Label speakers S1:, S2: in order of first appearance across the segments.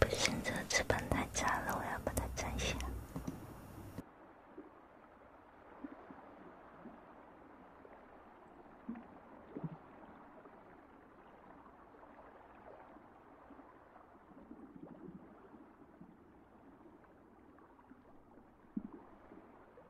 S1: 不行，这翅膀太脏了，我要把它摘下。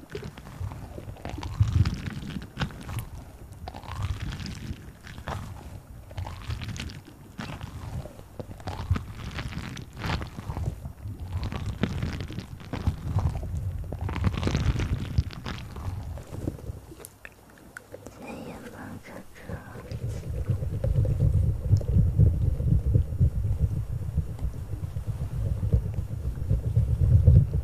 S1: 夜猫哥哥。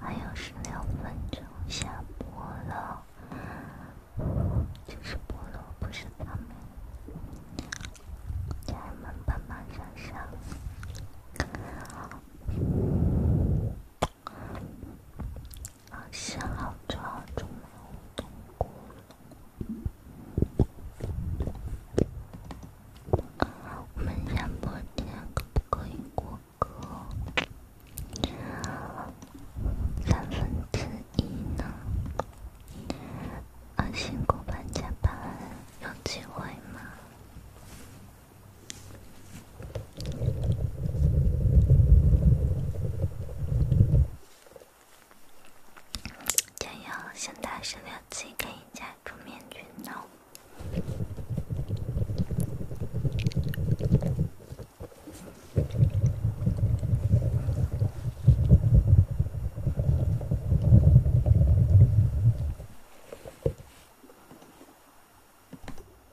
S1: 还有十六分钟下播了，这是菠萝，不是草莓，家人们帮忙想想。啊，辛苦了，周末辛苦。我们下播前可不可以过个三分之一呢？啊，辛苦班加班有机会吗？这样，现在十六级可以加出面具呢。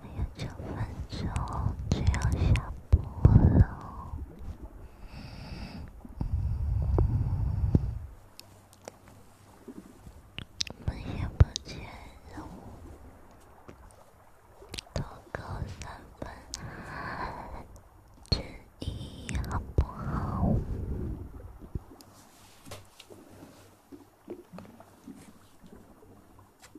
S2: 还有九分钟就要下播了，本节目今日五到高三分之一，好不好？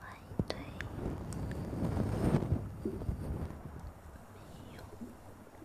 S2: 欢迎对，没有。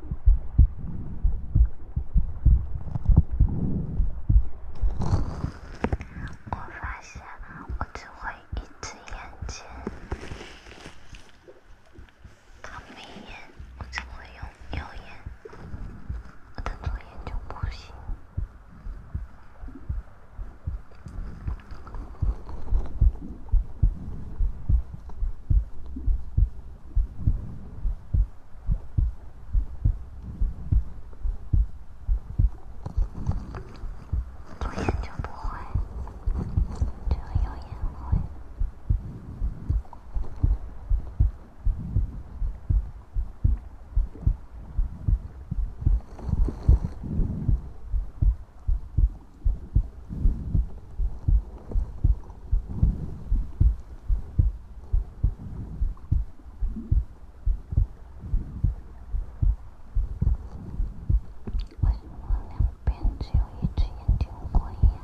S2: 我发现我只会一只眼睛，他没眼，我只会用右眼，我的左眼就不行。
S1: 抽烟就不会，这个油烟会。为什么两边只有一只眼睛会呀？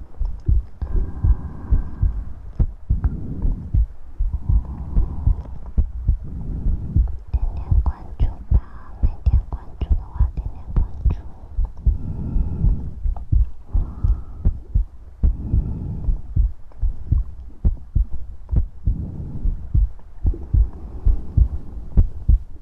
S1: 点点关注吧，没点关注的话，点点关注。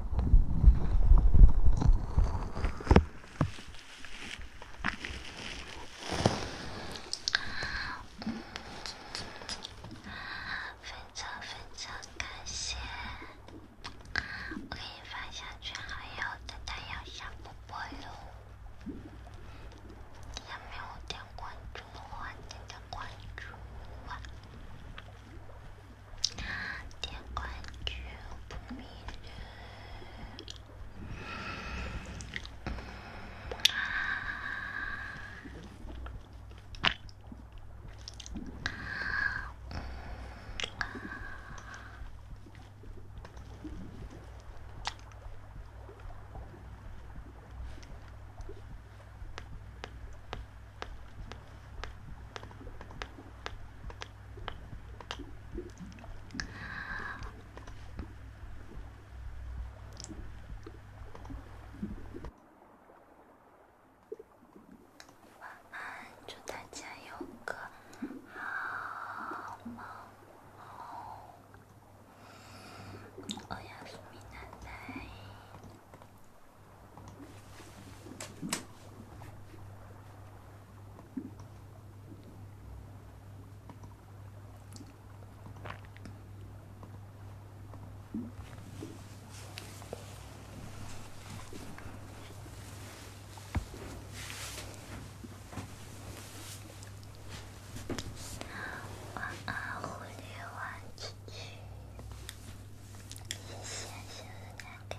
S1: 粉超粉超，感谢！我给你发一下群号，要的太阳小波波哟。下面有点关注的话，点点关注。点关注，不迷路。晚安，祝大家有个好梦。我要睡美男了。晚安，狐狸玩具。谢谢，谢谢大家。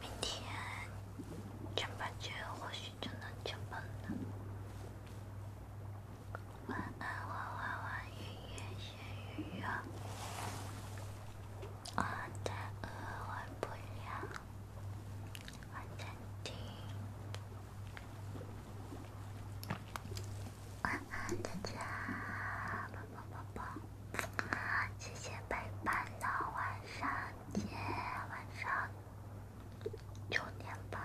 S1: 明天宝宝，宝宝。啊，今天陪伴到晚上，夜晚上九点半，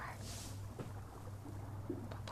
S1: 拜。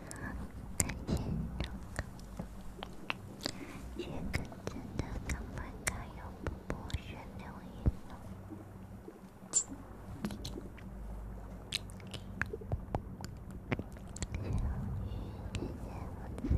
S1: 看见的，看见真的，根本看不到不剥削留言了。下雨天，我只等远远的人。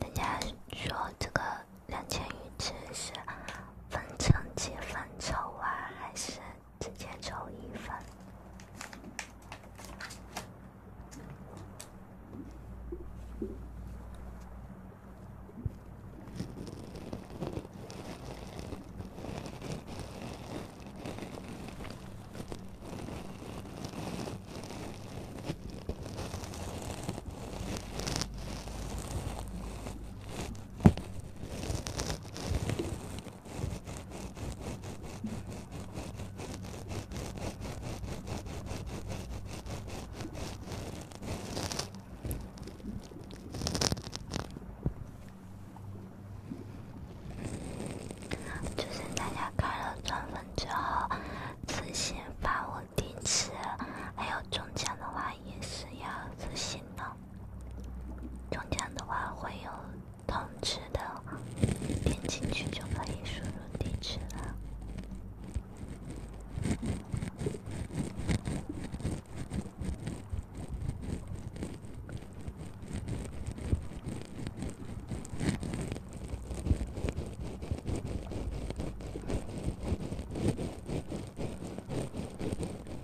S1: 人家说这个两千余次是分成几分丑啊，还是？直接抽一份。就是大家开了钻粉之后，自行发我地址，还有中奖的话也是要自行弄。中奖的话会有通知的，点进去就可以输入地址了。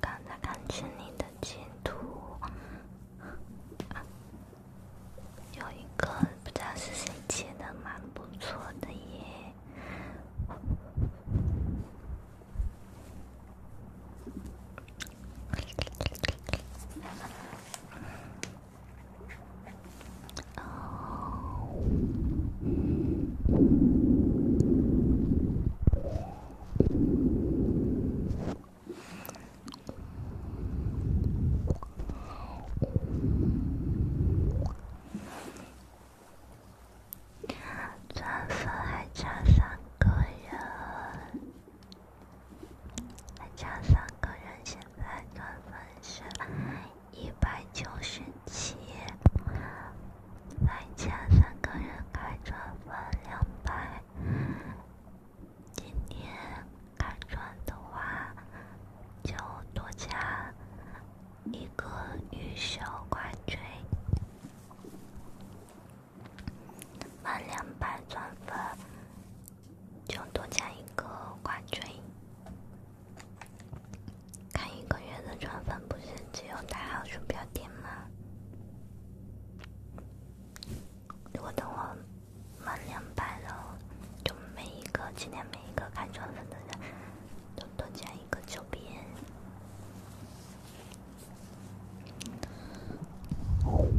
S1: 刚才看见你的截图，有一个不知道是谁截的，蛮不错的耶。满分还差三个人，还差三个人，现在满分是。一百九十七，再加三个人开钻粉两百。今天开钻的话，就多加一个预售挂坠，满两百钻粉就多加一个挂坠。看一个月的转粉不是只有大号鼠标垫吗？如果等我满两百了，就每一个今天每一个看转粉的人，都多加一个周边。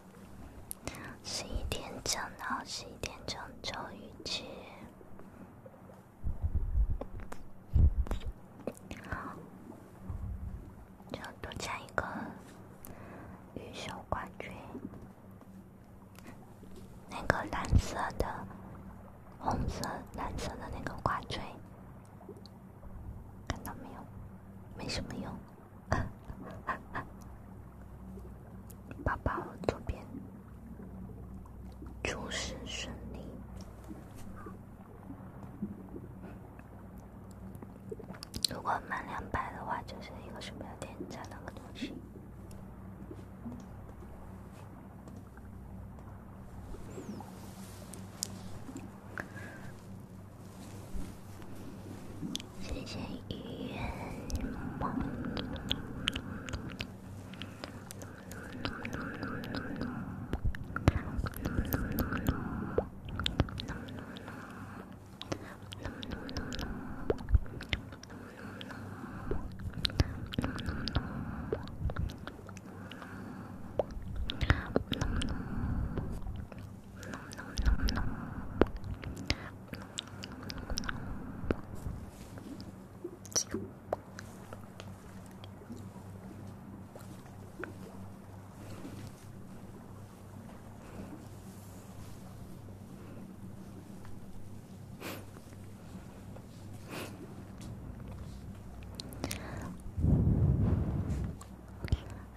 S1: 十一点整到十一点整，周瑜去，就多加一个玉手挂坠，那个蓝色的、红色、蓝色的那个挂坠，看到没有？没什么用。宝宝左边，祝事顺利。如果满两百的话，就是一个手表店加两个东西。谢谢预约。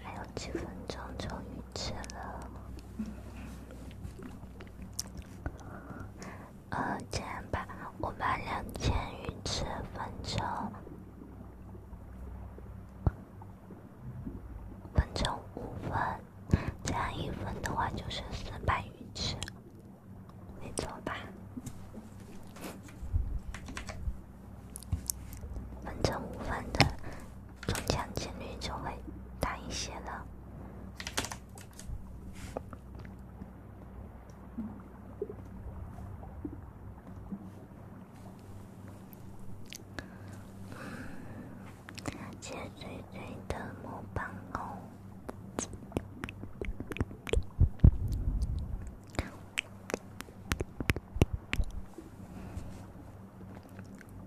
S1: 还有几分钟，终于吃了。呃，这样吧，我把两千鱼翅分成分成五份，这样一份的话就是四百鱼翅，没错吧，分成五份的。中奖几率就会大一些了。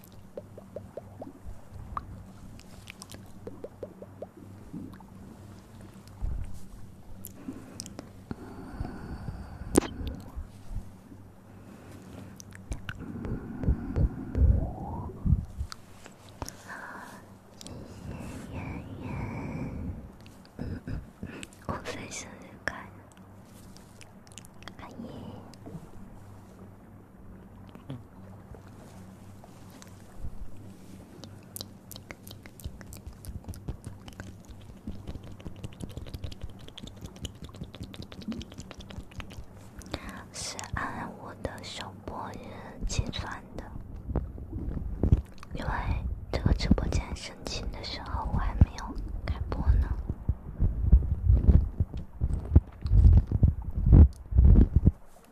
S1: 啊，耶耶！嗯嗯，我最喜欢是按我的首播日计算的，因为这个直播间申请的时候我还没有开播呢。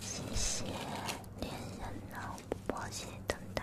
S1: 谢谢恋人呢，不薄情等待。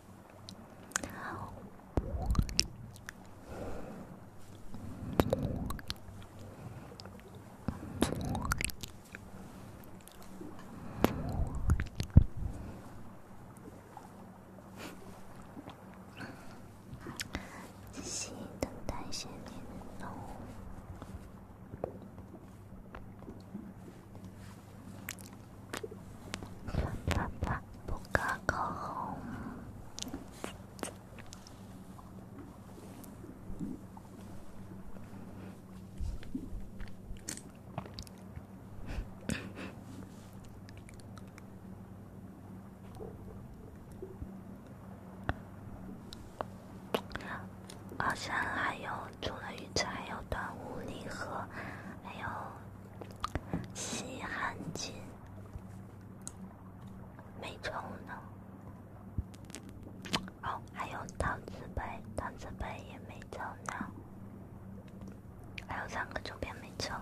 S1: 仔细等待下面的内容。爸爸好像还有除了鱼伞还有端午礼盒，还有。稀罕金没抽呢，哦，还有桃瓷杯，桃瓷杯也没抽呢，还有三个周边没抽，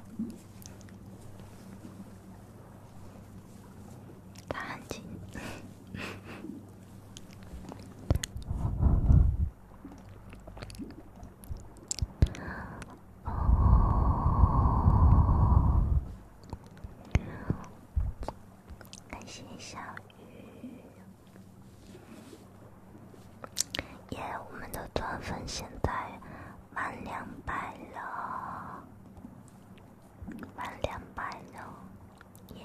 S1: 稀罕金。哦，感谢小鱼，耶！我们的钻粉现在满两百了，满两百了，耶！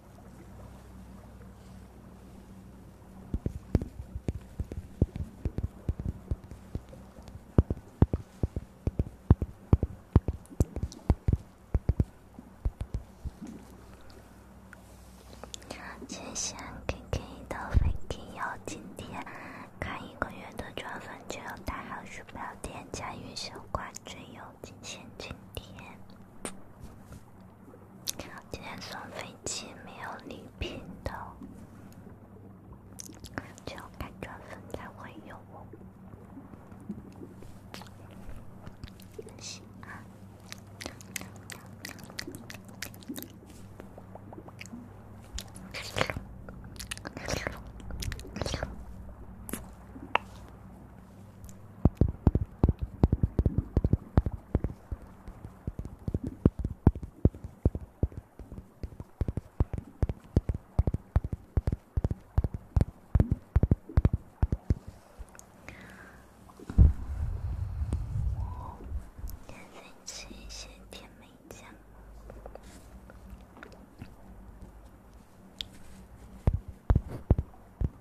S1: 谢谢 KK 的飞机妖今天看一个月的专粉就要打好鼠标垫，加云霄挂坠有今天津贴。今天送飞机没有礼品的，只有开钻粉才会有哦。甜心，甜梅酱。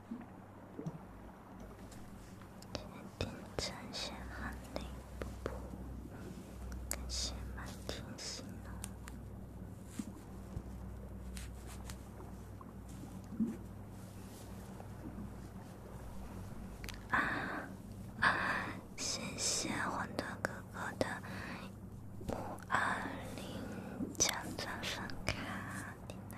S1: 今天凌晨写很累，不不，感谢满天星。啊啊，谢谢混沌哥哥的五二零钻钻粉卡，你呢？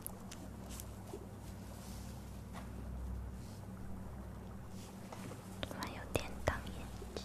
S1: 还有点挡眼睛。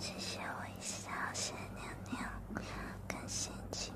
S2: 谢谢我一下，谢娘娘，感谢亲。